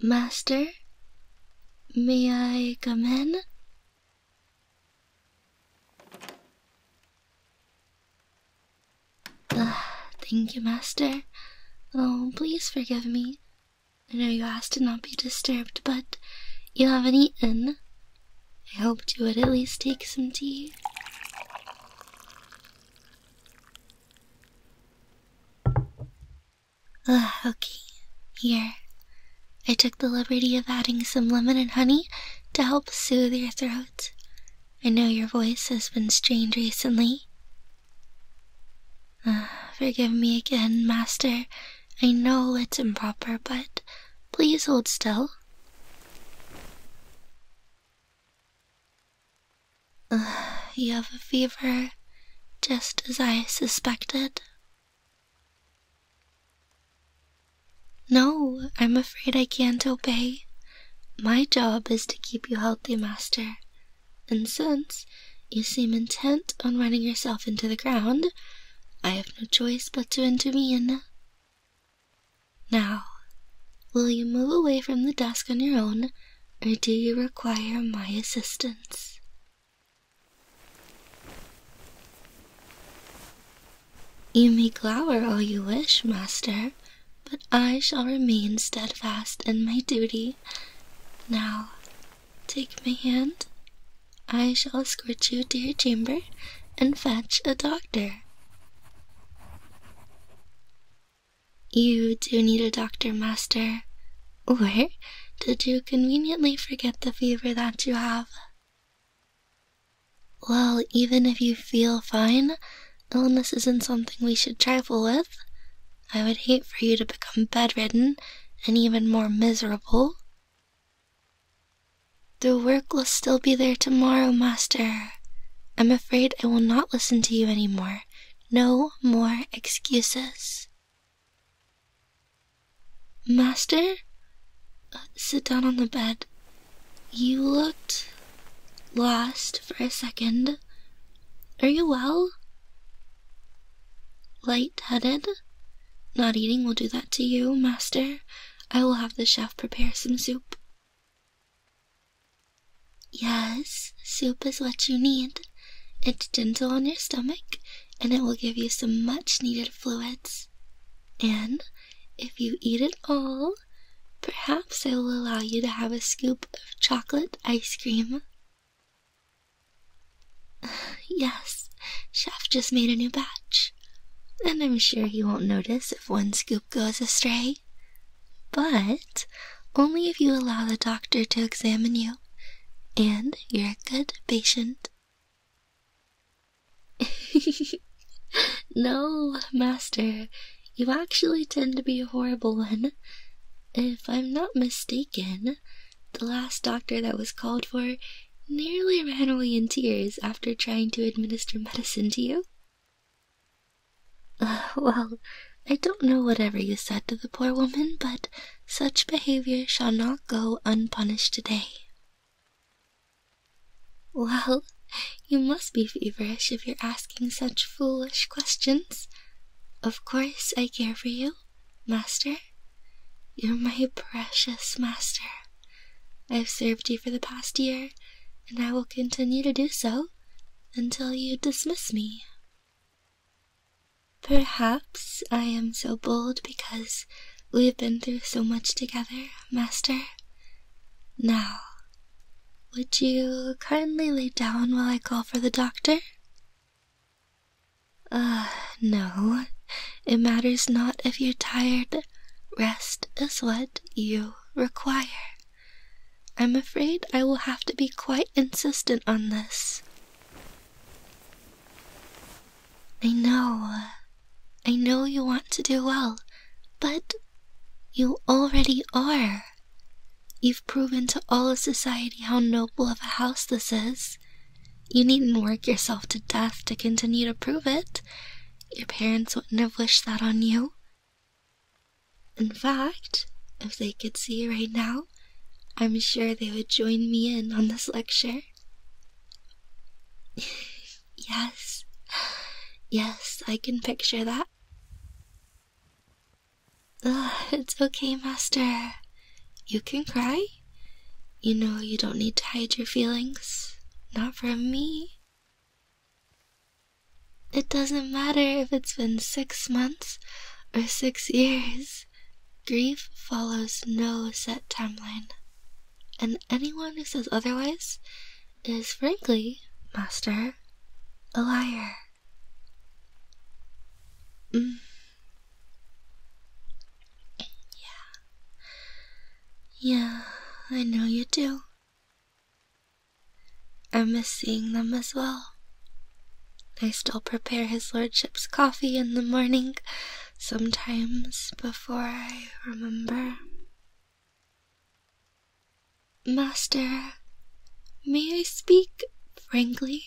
Master, may I come in? Uh, thank you, Master. Oh, please forgive me. I know you asked to not be disturbed, but you haven't eaten, I hoped you would at least take some tea. Ugh, ah, okay, here. I took the liberty of adding some lemon and honey to help soothe your throat. I know your voice has been strained recently. Ah, forgive me again, Master. I know it's improper, but please hold still. you have a fever, just as I suspected. No, I'm afraid I can't obey. My job is to keep you healthy, Master. And since you seem intent on running yourself into the ground, I have no choice but to intervene. Now, will you move away from the desk on your own, or do you require my assistance? You may glower all you wish, master, but I shall remain steadfast in my duty. Now, take my hand I shall escort you to your chamber and fetch a doctor. You do need a doctor, master. Or did you conveniently forget the fever that you have? Well, even if you feel fine, illness isn't something we should trifle with. I would hate for you to become bedridden and even more miserable. The work will still be there tomorrow, master. I'm afraid I will not listen to you any more. No more excuses. Master? Uh, sit down on the bed. You looked lost for a second. Are you well? Light-headed? Not eating will do that to you, master. I will have the chef prepare some soup. Yes, soup is what you need. It's gentle on your stomach, and it will give you some much needed fluids. And if you eat it all, perhaps I will allow you to have a scoop of chocolate ice cream. yes, Chef just made a new batch, and I'm sure he won't notice if one scoop goes astray. But only if you allow the doctor to examine you, and you're a good patient. no, Master, you actually tend to be a horrible one. If I'm not mistaken, the last doctor that was called for nearly ran away in tears after trying to administer medicine to you. Uh, well, I don't know whatever you said to the poor woman, but such behavior shall not go unpunished today. Well, you must be feverish if you're asking such foolish questions. Of course, I care for you. Master? You're my precious master. I've served you for the past year, and I will continue to do so until you dismiss me. Perhaps I am so bold because we have been through so much together, master. Now, would you kindly lay down while I call for the doctor? Ah, no. It matters not if you're tired. Rest is what you require. I'm afraid I will have to be quite insistent on this. I know. I know you want to do well, but you already are. You've proven to all of society how noble of a house this is. You needn't work yourself to death to continue to prove it. Your parents wouldn't have wished that on you. In fact, if they could see you right now, I'm sure they would join me in on this lecture. yes, yes, I can picture that it's okay, Master. You can cry. You know you don't need to hide your feelings. Not from me. It doesn't matter if it's been six months or six years. Grief follows no set timeline. And anyone who says otherwise is, frankly, Master, a liar. Mm. Yeah. Yeah, I know you do. I miss seeing them as well. I still prepare his lordship's coffee in the morning sometimes before I remember. Master, may I speak? frankly?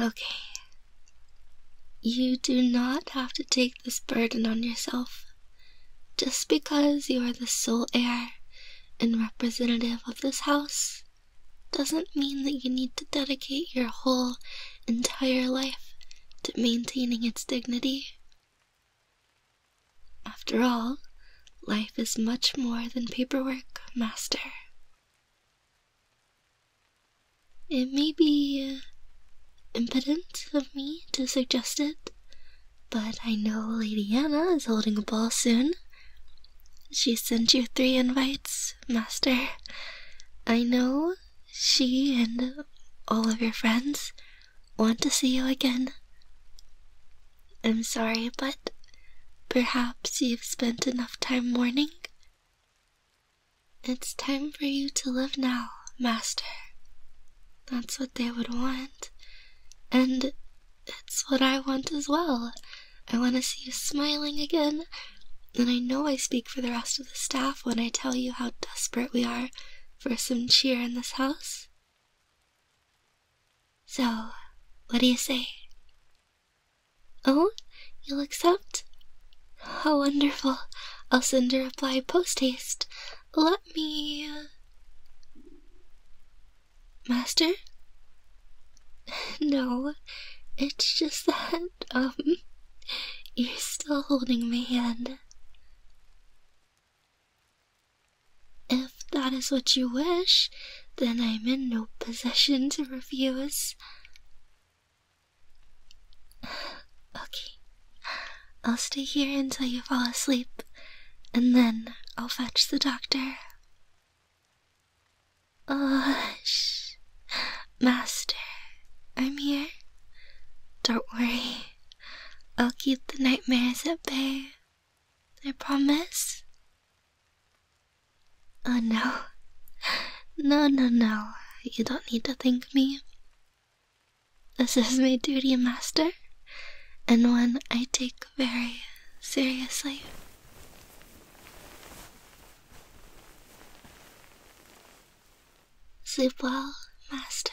Okay. You do not have to take this burden on yourself. Just because you are the sole heir and representative of this house doesn't mean that you need to dedicate your whole entire life to maintaining its dignity. After all, life is much more than paperwork, Master. It may be uh, impudent of me to suggest it, but I know Lady Anna is holding a ball soon. She sent you three invites, Master. I know she and all of your friends want to see you again. I'm sorry, but perhaps you've spent enough time mourning? It's time for you to live now, Master. That's what they would want. And it's what I want as well. I want to see you smiling again. And I know I speak for the rest of the staff when I tell you how desperate we are for some cheer in this house. So, what do you say? Oh, you'll accept? How wonderful. I'll send a reply post haste. Let me. Uh, Master? No, it's just that, um, you're still holding my hand. If that is what you wish, then I'm in no position to refuse. Okay, I'll stay here until you fall asleep, and then I'll fetch the doctor. Oh, shh. Master, I'm here. Don't worry. I'll keep the nightmares at bay. I promise. Oh no. No, no, no. You don't need to thank me. This is my duty, Master, and one I take very seriously. Sleep well, Master.